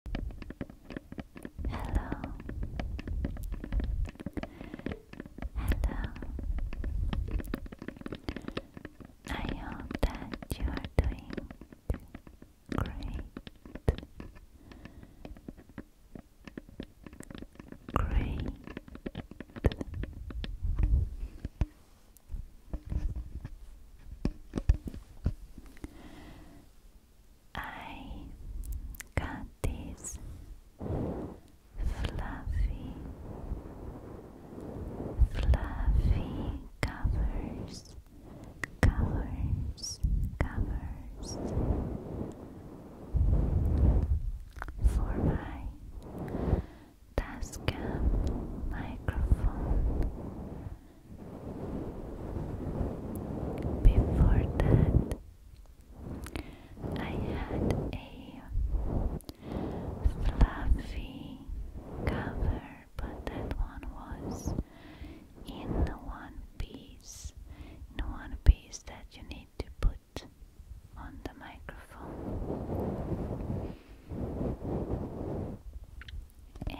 Hello. Hello. I hope that you are doing great. Great. I got these fluffy, fluffy covers, covers, covers for my Tascam microphone. Before that, I had a fluffy cover, but that one was in one piece, in one piece that you need to put on the microphone and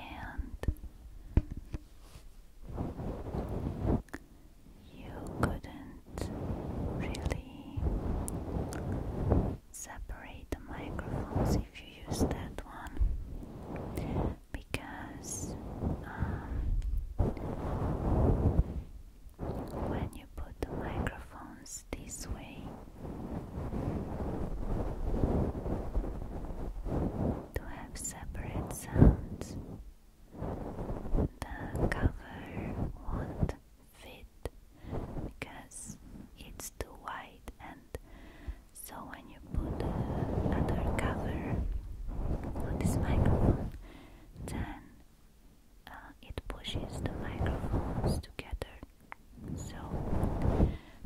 you couldn't really separate the microphones if you use that one because um, when you put the microphones this way to have separate sounds. The cover won't fit because it's too wide, and so when you put the cover on this microphone, then uh, it pushes the microphones together. So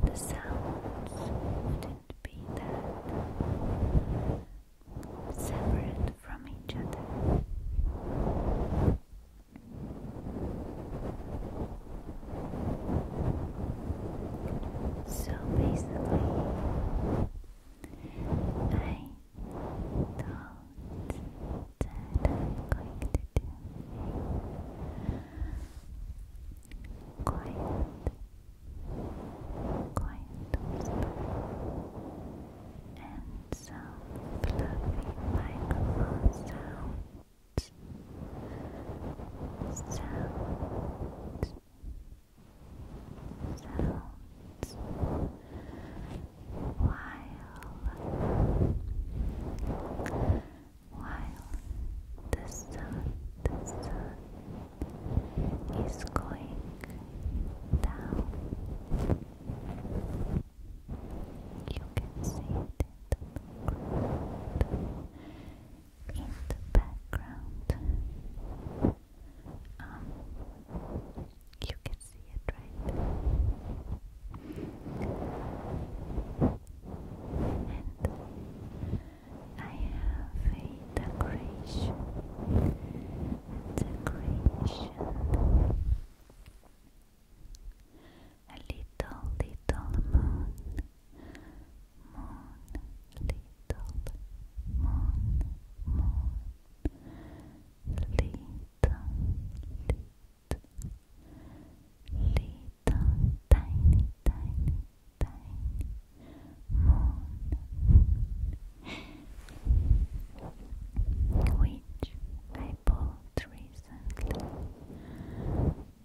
the sounds wouldn't be that separate from each other. So basically, I thought that I'm going to do quiet quiet whisper and some fluffy microphone sounds sounds while while the sun the sun is going down. You can see the background. In the background. Um, you can see it right I have a decoration. A little, little moon. Moon, little, moon, moon. Little, little, little, tiny, tiny, tiny moon, which I bought recently.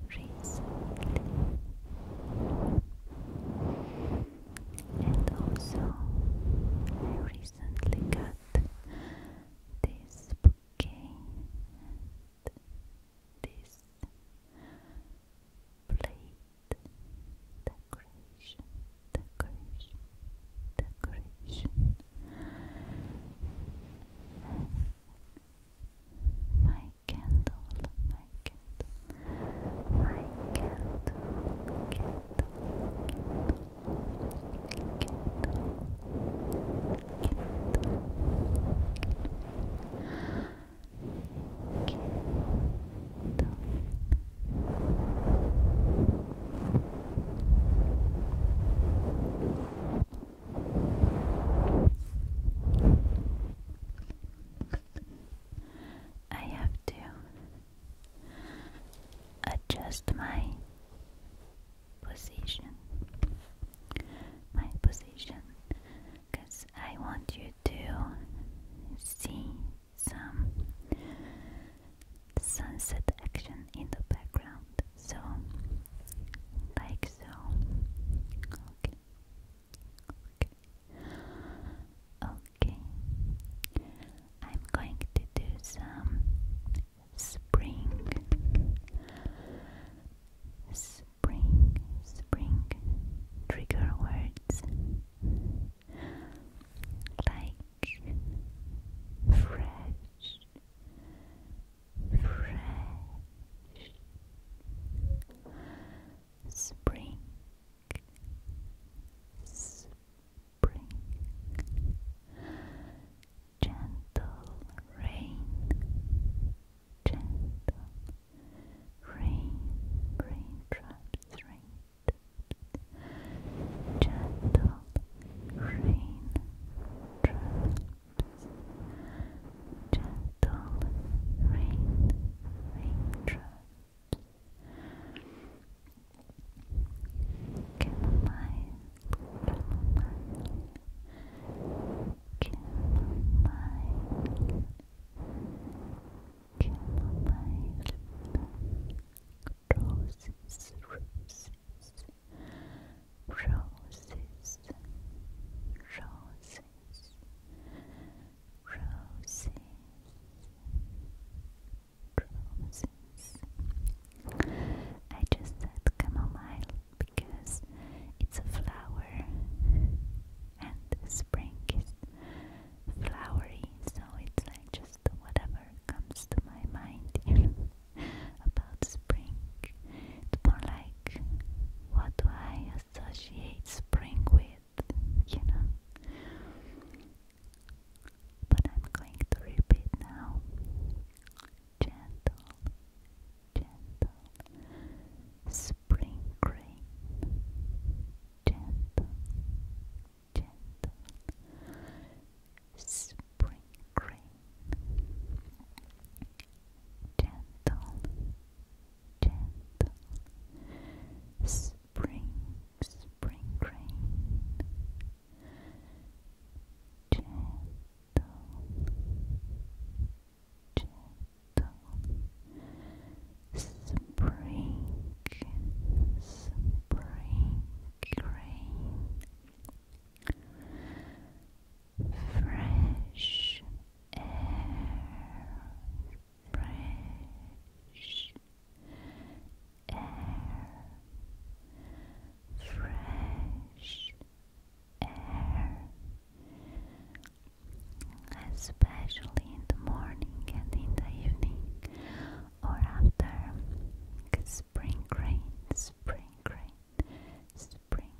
Recently, and also I recently got this bouquet and this plate decoration, decoration, decoration. My candle, my candle, my candle, candle, candle, candle, candle. I have to adjust my position, my position because I want you to see some sunset action in the background. So, like so. Okay. Okay. Okay. I'm going to do some spring. Spring spring, spring trigger words like fresh, fresh, spring, spring, gentle rain, gentle rain, raindrops, rain, gentle rain gentle rain, raindrops, chamomile, chamomile. Chamomile, chamomile, roses, roses, roses, roses, roses. I just said chamomile because it's a flower and spring is flowery, so it's like just whatever comes to my mind, you know, about spring. It's more like what do I associate spring with, you know. But I'm going to repeat now. Gentle, gentle spring rain, gentle, gentle spring rain, gentle, gentle spring, spring rain, gentle. Gentle, Spring, spring rain, fresh air, fresh air, fresh air especially in the morning and in the evening or after spring rain, spring rain, spring,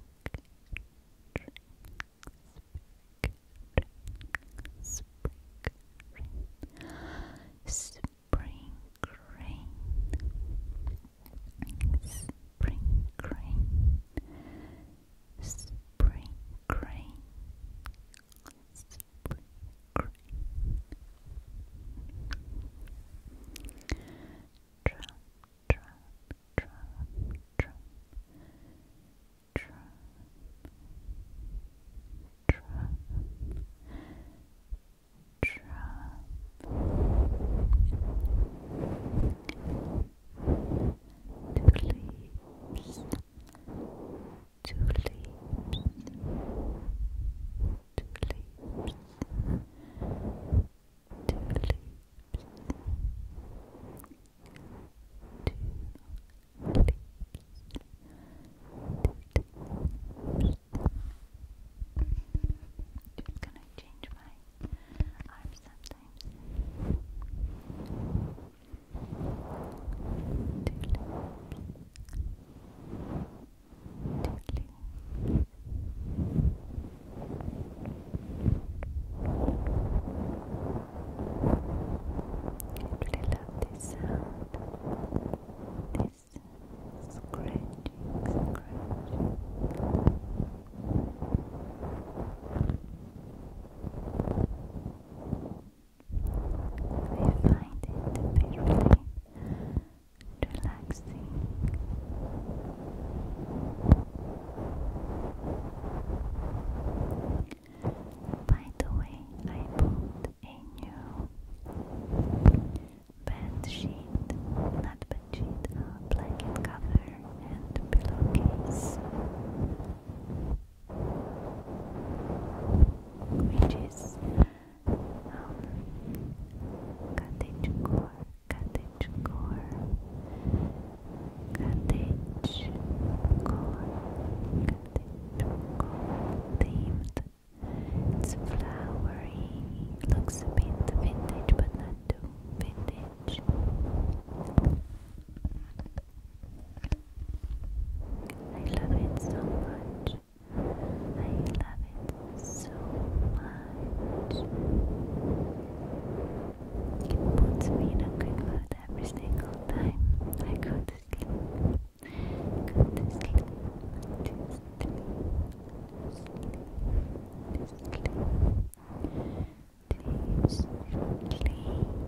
spring, spring rain, spring rain, spring rain, spring rain. Trump, two leaves, two leaves, two leaves, two leaves. It's gonna change my arm sometimes really love this sound. This scratching, Thank you we find it very relaxing. By the way, I bought a new bed not bed a blanket cover and pillowcase which is um, cottage core, cottage core, cottage core, cottage core It's flowery, looks a bit vintage, but not too vintage. I love it so much. I love it so much. It puts me in a good mood every single time I go to sleep. Go to sleep.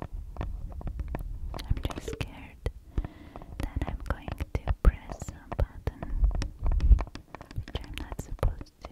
I'm just scared that I'm going to press a button which I'm not supposed to.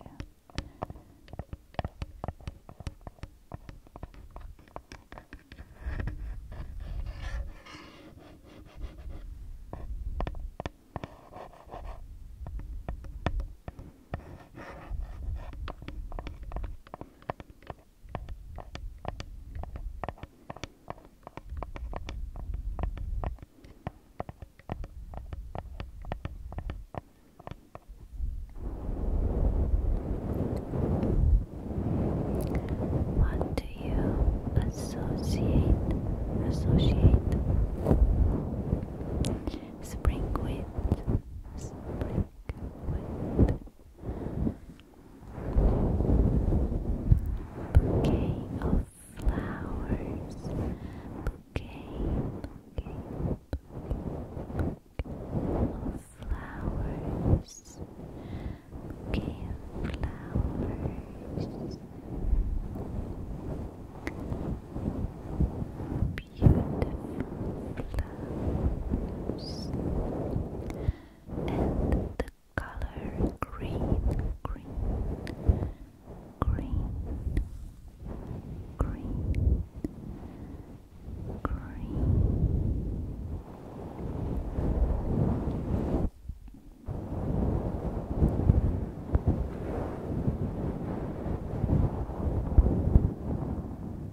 What do you associate associate spring with bouquet of flowers, bouquet, bouquet, bouquet, bouquet of flowers, bouquet of flowers. Beautiful flowers, and the color green, green, green, green, green.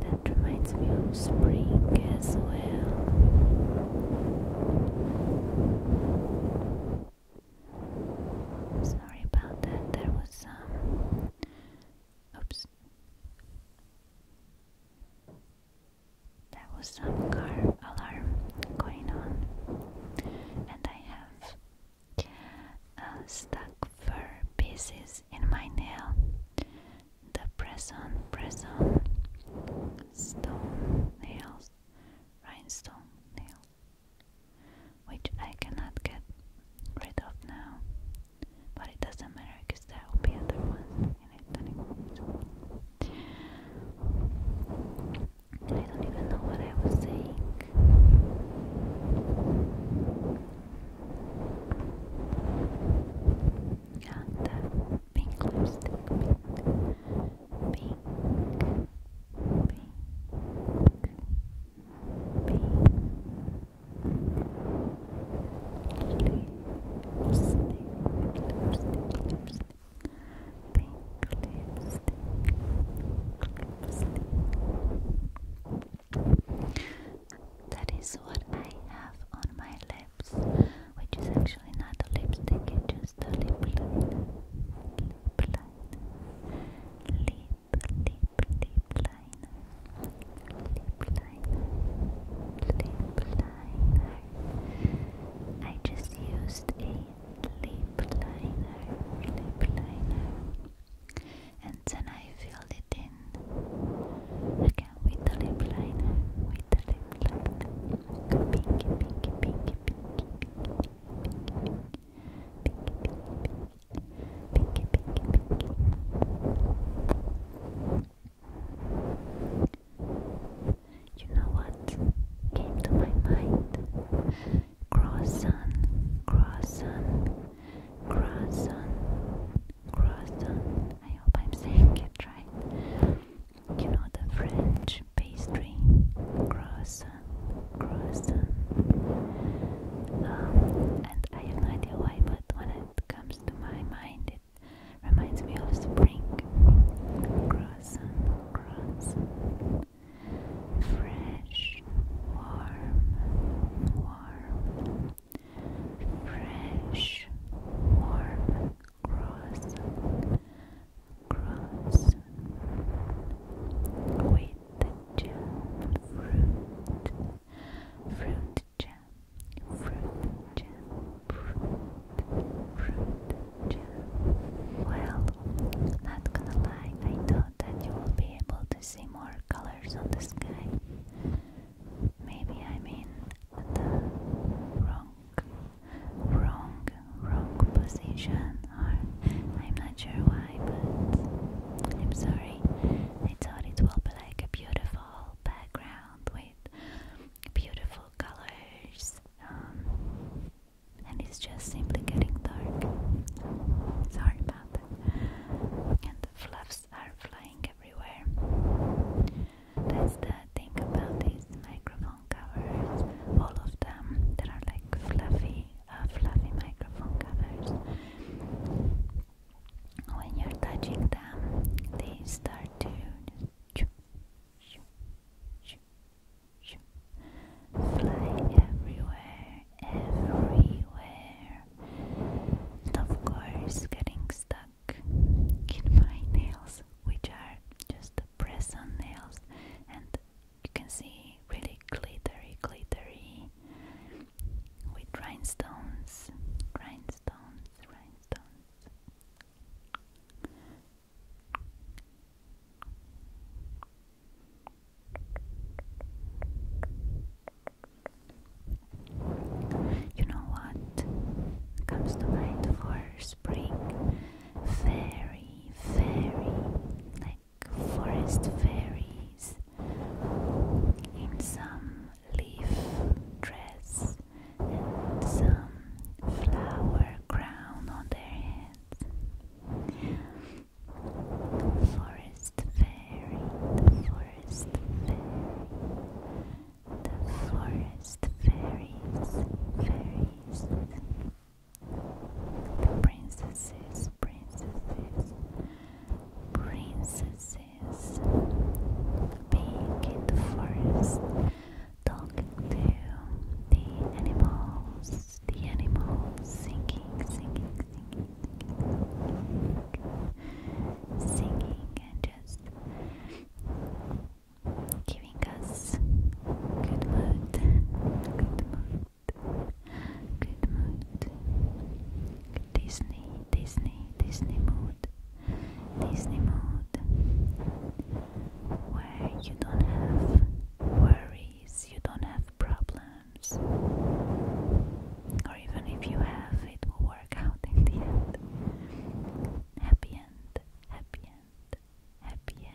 That reminds me of spring as well. Sorry about that, there was some. Oops. There was some car alarm going on, and I have uh, stuck fur pieces in my nail the present, present stone nails, rhinestone nails, which I cannot get rid of now, but it doesn't matter because there will be other ones I don't even know what I was saying. Yeah, that pink lipstick, pink, pink, pink, pink, lipstick, lipstick, lipstick, pink lipstick, That is what I have on my lip which is actually not a lipstick, it's just a lip liner. Lip liner. Lip, lip, lip liner. Lip liner. Lip liner. I just used a lip liner. Lip liner. And then I filled it in again. Again with the lip liner, with the lip liner. Pinky, pinky, pinky, pinky, pinky, pinky, pinky, pinky, pinky, pinky, pinky. You know what came to my mind? Croissant, croissant, croissant croissant. I hope I'm saying it right. You know the French pastry, croissant, croissant. Um, and I have no idea why, but when it comes to my mind, it reminds me of spring. Croissant, croissant. Fresh, warm, warm fresh, warm, cross, cross with the jam, fruit, fruit jam, fruit jam, fruit, fruit jam. Well, not gonna lie, I thought that you will be able to see more colors on the sky. Maybe I'm in the wrong, wrong, wrong position, I'm not sure why, but I'm sorry. I thought it will be like a beautiful background with beautiful colors, um, and it's just simply getting dark. Sorry about that. And the fluff are flying everywhere. That's the thing about these microphone covers. All of them, they are like fluffy, uh, fluffy microphone covers. When you're touching them, they start to fly everywhere, everywhere. And of course, getting stuck stuck in my nails, which are just press on nails, and you can see really glittery, glittery with rhinestones, rhinestones, rhinestones. You know what comes to mind for spring? Fairy, fairy, like forest fairies in some leaf dress and some flower crown on their heads. forest fairy, forest fairy. The forest fairies, fairies. The princesses, princesses, princesses. Being in the forest, talking to the animals, the animals, singing, singing, singing, singing and just giving us good mood, good mood, good mood, Disney, Disney, Disney mood, Disney mood, where you don't have worries, you don't have problems, or even if you have, it will work out in the end. Happy end, happy end, happy end.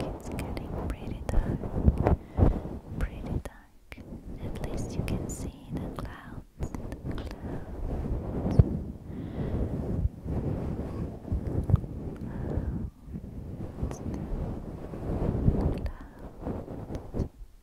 It's getting pretty dark, pretty dark. At least you can see the the Clouds.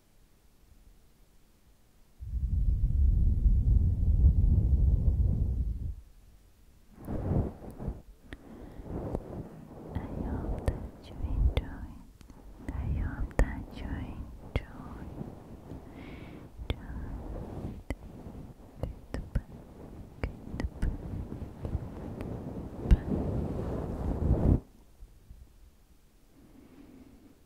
hope that you enjoy. I hope that you enjoy.